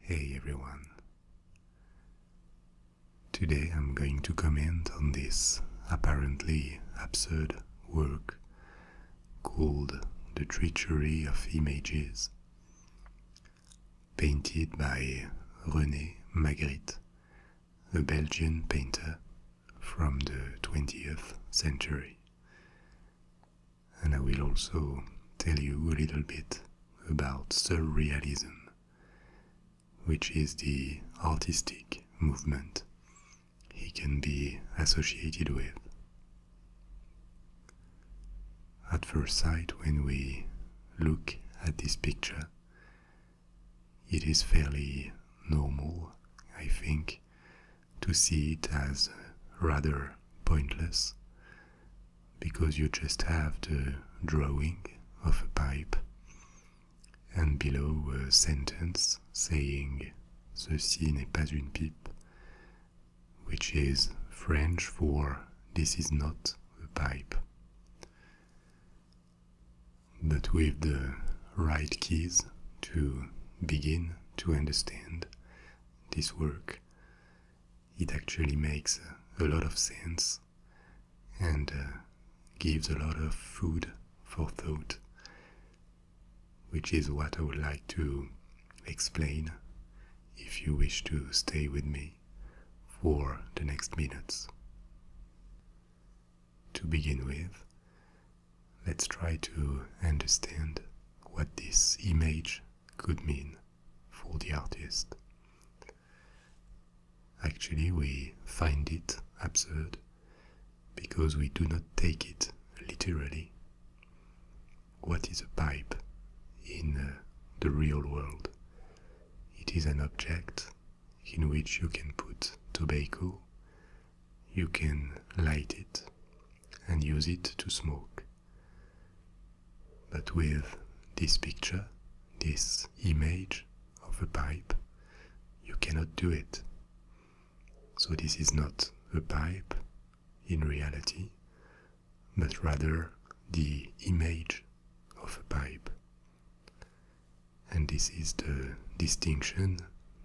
Hey everyone. Today I'm going to comment on this apparently absurd work called The Treachery of Images, painted by René Magritte, a Belgian painter from the 20th century and I will also tell you a little bit about surrealism, which is the artistic movement he can be associated with. At first sight, when we look at this picture, it is fairly normal, I think, to see it as rather pointless because you just have the drawing of a pipe and below a sentence saying ceci n'est pas une pipe which is french for this is not a pipe but with the right keys to begin to understand this work it actually makes a lot of sense and uh, gives a lot of food for thought, which is what I would like to explain if you wish to stay with me for the next minutes. To begin with, let's try to understand what this image could mean for the artist. Actually, we find it absurd because we do not take it literally. What is a pipe in uh, the real world? It is an object in which you can put tobacco, you can light it, and use it to smoke. But with this picture, this image of a pipe, you cannot do it. So, this is not a pipe in reality, but rather the image of a pipe. And this is the distinction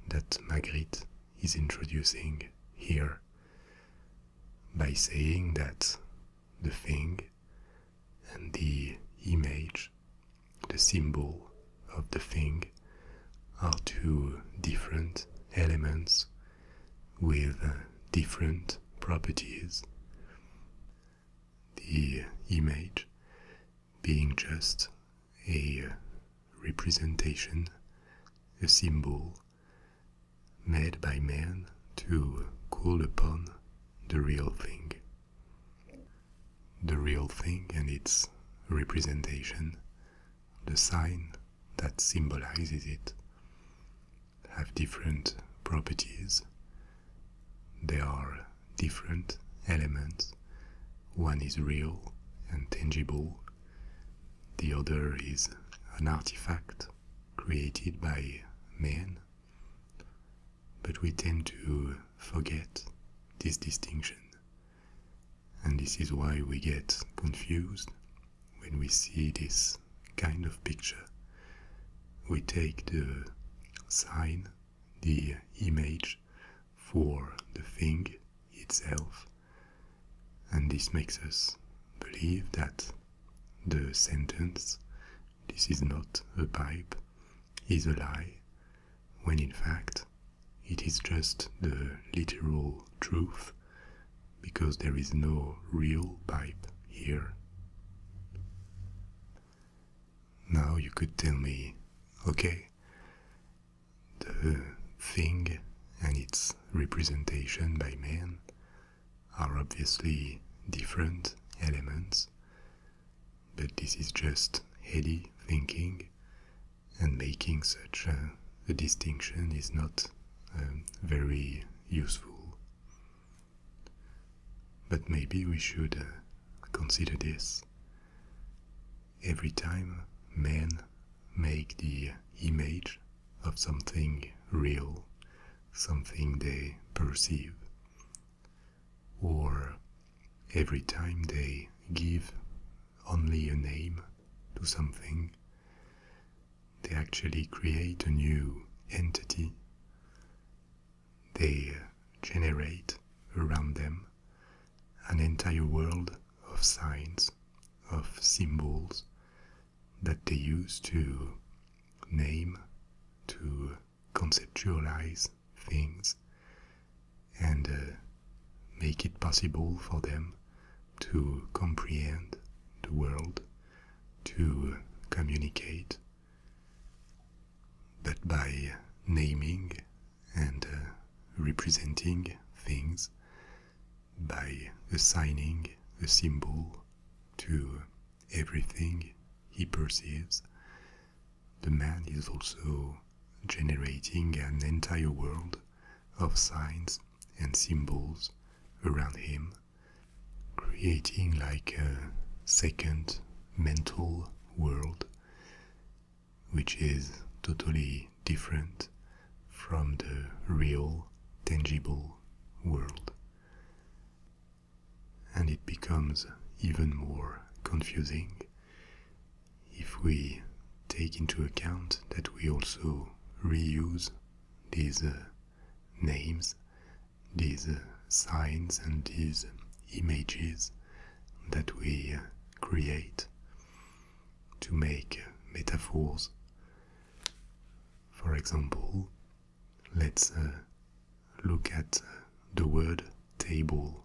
that Magritte is introducing here by saying that the thing and the image, the symbol of the thing, are two different elements with different properties. The image being just a representation, a symbol made by man to call upon the real thing. The real thing and its representation, the sign that symbolizes it, have different properties. They are different elements. One is real and tangible, the other is an artifact created by man, but we tend to forget this distinction, and this is why we get confused when we see this kind of picture. We take the sign, the image, for the thing itself, and this makes us believe that the sentence, this is not a pipe, is a lie, when in fact it is just the literal truth, because there is no real pipe here. Now you could tell me, okay, the thing and its representation by man are obviously different elements, but this is just heady thinking, and making such a, distinction is not um, very useful. But maybe we should uh, consider this. Every time men make the image of something real, something they perceive. Or every time they give only a name to something, they actually create a new entity. They generate around them an entire world of signs, of symbols that they use to name, to conceptualize things, and uh, make it possible for them to comprehend the world, to communicate. But by naming and uh, representing things, by assigning a symbol to everything he perceives, the man is also generating an entire world of signs and symbols around him, creating like a second mental world, which is totally different from the real, tangible world. And it becomes even more confusing if we take into account that we also reuse these uh, names, these uh, signs, and these images that we uh, create to make metaphors. For example, let's uh, look at uh, the word table.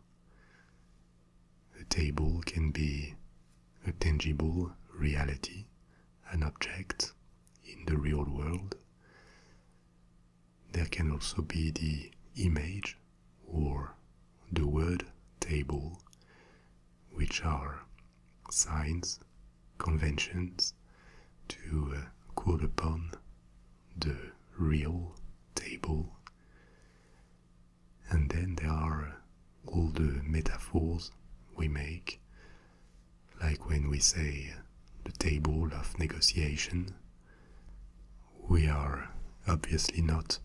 A table can be a tangible reality, an object in the real world. There can also be the image or the word table which are signs, conventions to uh, call upon the real table. And then there are all the metaphors we make, like when we say uh, the table of negotiation. We are obviously not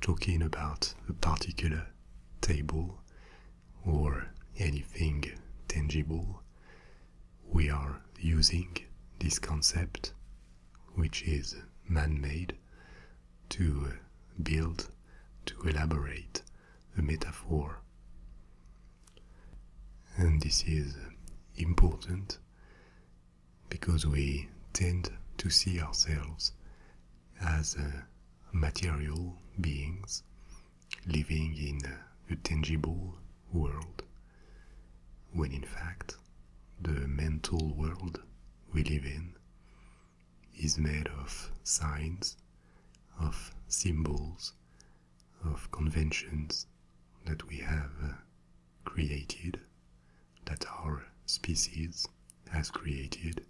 talking about a particular table, or anything tangible, we are using this concept, which is man made, to build, to elaborate a metaphor. And this is important because we tend to see ourselves as material beings living in a tangible world, when in fact the mental world we live in is made of signs, of symbols, of conventions that we have uh, created, that our species has created,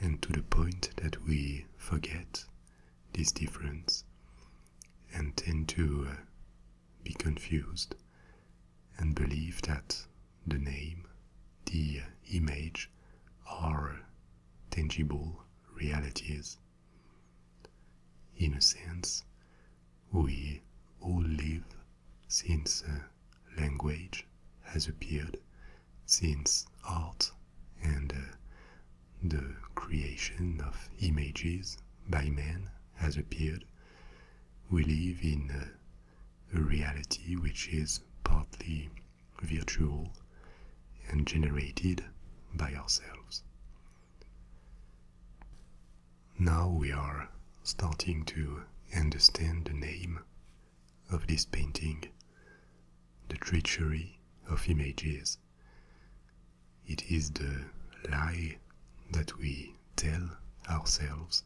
and to the point that we forget this difference and tend to uh, be confused and believe that the name, the uh, image are tangible realities. In a sense, we all live since language has appeared, since art and uh, the creation of images by man has appeared, we live in a reality which is partly virtual and generated by ourselves. Now we are starting to understand the name of this painting, the treachery of images. It is the lie that we tell ourselves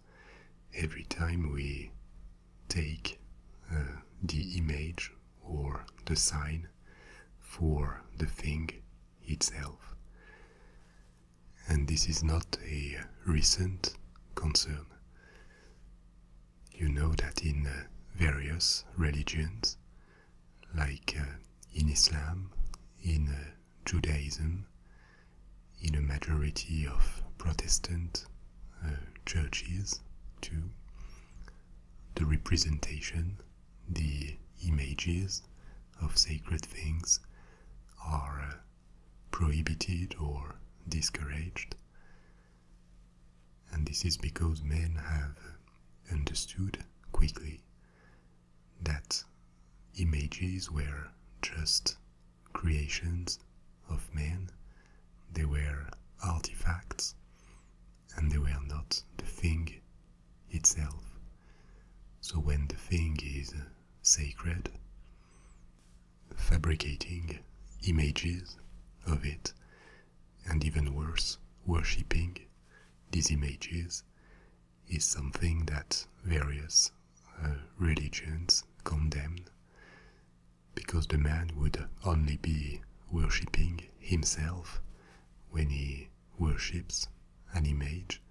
every time we take uh, the image or the sign for the thing itself and this is not a recent concern. You know that in uh, various religions, like uh, in Islam, in uh, Judaism, in a majority of Protestant churches, the representation, the images of sacred things are prohibited or discouraged. And this is because men have understood quickly that images were just creations of man, they were artifacts, and they were not the thing itself. So when the thing is sacred, fabricating images of it, and even worse, worshipping these images is something that various uh, religions condemn because the man would only be worshipping himself when he worships an image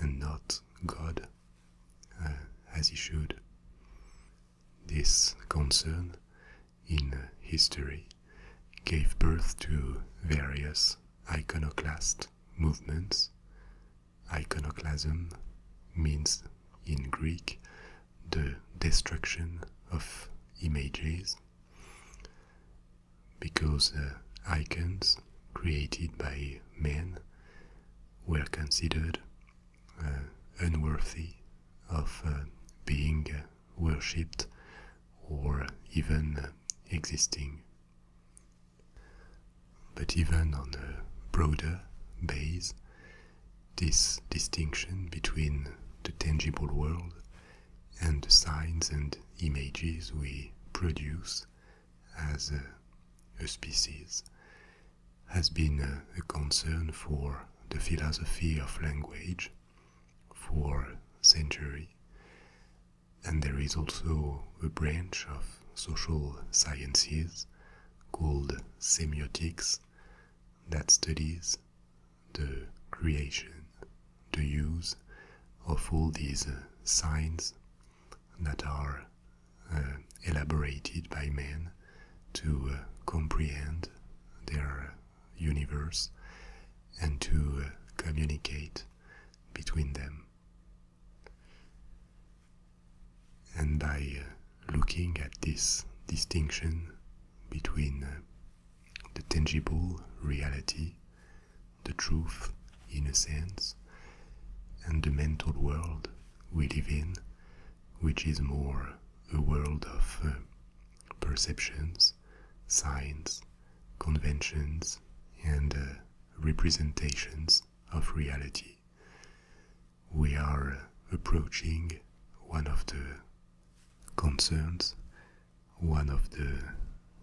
and not God uh, as he should. This concern in history gave birth to various iconoclast movements. Iconoclasm means in Greek the destruction of images because uh, icons created by men were considered uh, unworthy of uh, being uh, worshipped or even existing. But even on a broader base, this distinction between the tangible world and the signs and images we produce as a, species has been a, concern for the philosophy of language for century. And there is also a branch of social sciences called semiotics that studies the creation, the use of all these signs that are uh, elaborated by men to uh, comprehend their uh, universe and to communicate between them. And by looking at this distinction between the tangible reality, the truth in a sense, and the mental world we live in, which is more a world of uh, perceptions, signs, conventions, and uh, representations of reality. We are uh, approaching one of the concerns, one of the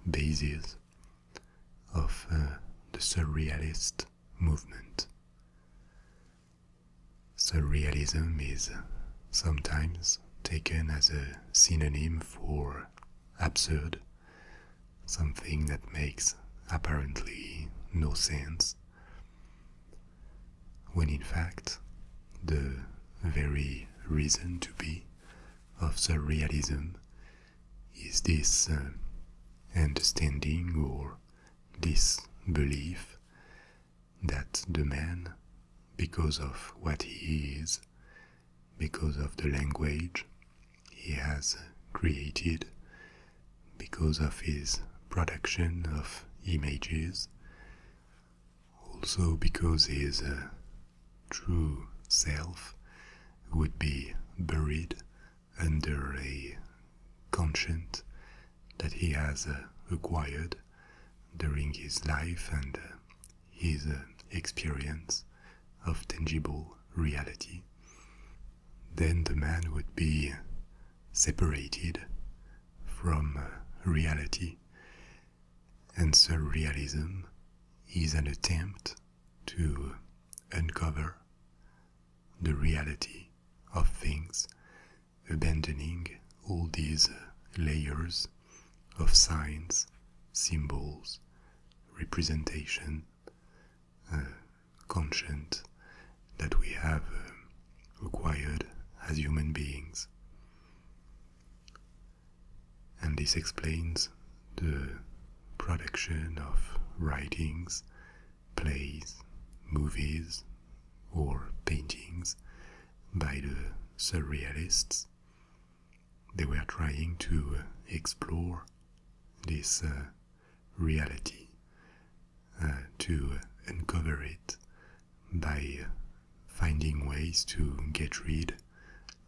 bases of uh, the surrealist movement. Surrealism is sometimes taken as a synonym for absurd, something that makes apparently no sense, when in fact, the very reason to be of surrealism is this uh, understanding or this belief that the man, because of what he is, because of the language he has created, because of his production of images, also because his uh, true self would be buried under a conscience that he has uh, acquired during his life and uh, his uh, experience of tangible reality, then the man would be separated from reality. And surrealism is an attempt to uncover the reality of things, abandoning all these layers of signs, symbols, representation, uh, conscience that we have required uh, as human beings. And this explains the production of writings, plays, movies, or paintings by the surrealists. They were trying to explore this uh, reality, uh, to uncover it by finding ways to get rid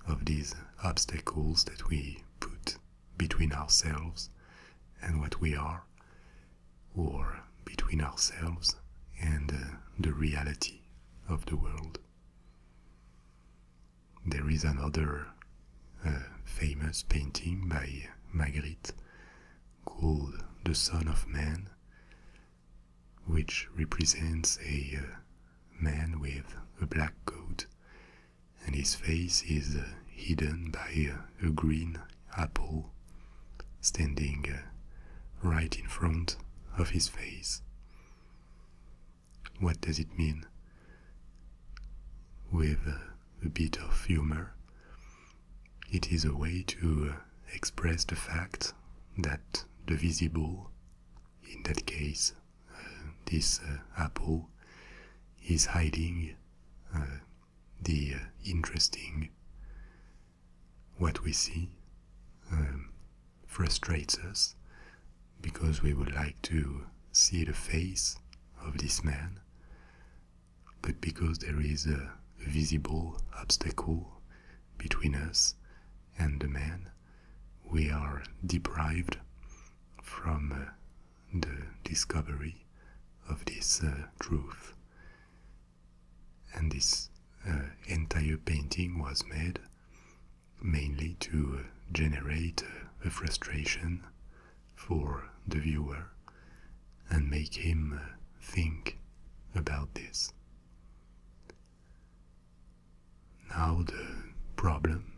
of these obstacles that we put between ourselves and what we are, or between ourselves and uh, the reality of the world. There is another uh, famous painting by Magritte called The Son of Man, which represents a uh, man with a black coat and his face is uh, hidden by uh, a green apple standing uh, right in front of his face. What does it mean? With a bit of humor, it is a way to express the fact that the visible, in that case this uh, apple is hiding uh, the uh, interesting. What we see um, frustrates us because we would like to see the face of this man, but because there is a visible obstacle between us and the man, we are deprived from the discovery of this uh, truth. And this uh, entire painting was made mainly to uh, generate a frustration for the viewer and make him think about this. Now, the problem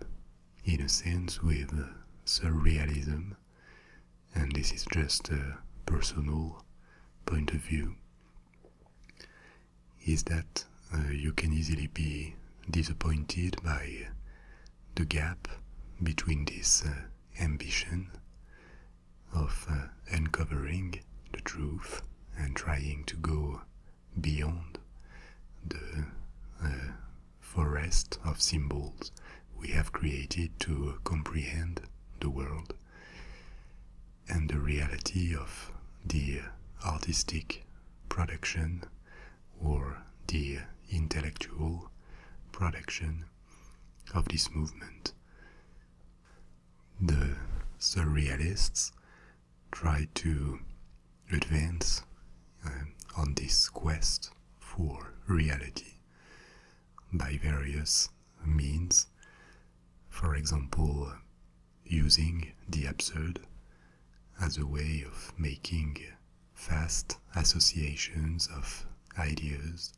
in a sense with uh, surrealism, and this is just a personal point of view, is that uh, you can easily be disappointed by the gap between this uh, ambition of uncovering the truth and trying to go beyond the forest of symbols we have created to comprehend the world and the reality of the artistic production or the intellectual production of this movement. The surrealists tried to advance uh, on this quest for reality by various means, for example, uh, using the absurd as a way of making fast associations of ideas,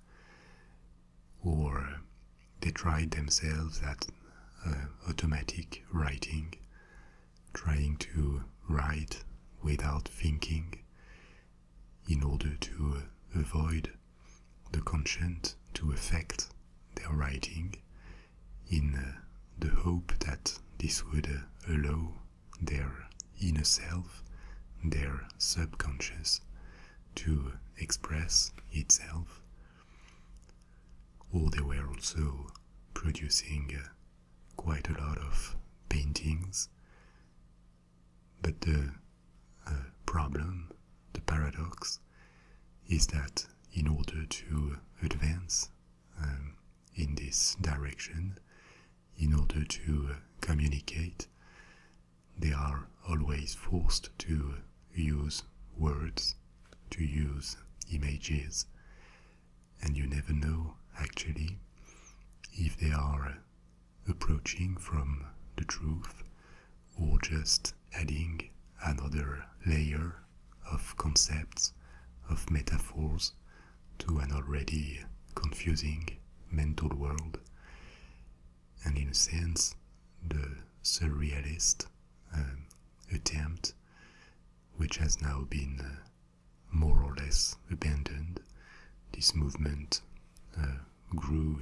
or they tried themselves at uh, automatic writing trying to write without thinking in order to avoid the conscience to affect their writing in uh, the hope that this would uh, allow their inner self, their subconscious, to express itself. Or they were also producing uh, quite a lot of paintings. But the uh, problem, the paradox, is that in order to advance um, in this direction, in order to uh, communicate, they are always forced to use words, to use images, and you never know actually if they are uh, approaching from the truth or just adding another layer of concepts, of metaphors to an already confusing mental world. And in a sense, the surrealist um, attempt, which has now been uh, more or less abandoned. This movement uh, grew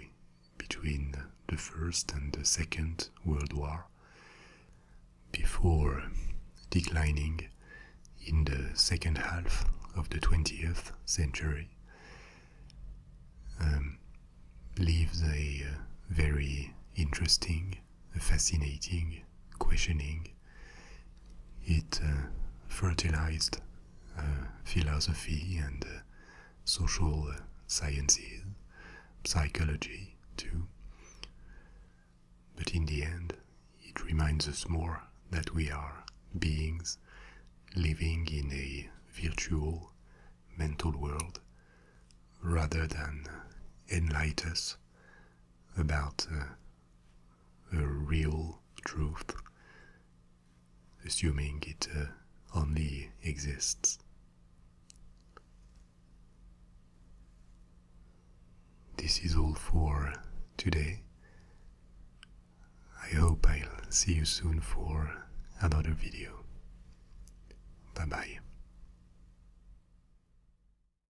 between the First and the Second World War before declining in the second half of the 20th century. Um, leaves a uh, very interesting fascinating, questioning. It uh, fertilized uh, philosophy and uh, social sciences, psychology too. But in the end, it reminds us more that we are beings living in a virtual mental world rather than enlight us about a real truth, assuming it uh, only exists. This is all for today. I hope I'll see you soon for another video. Bye bye.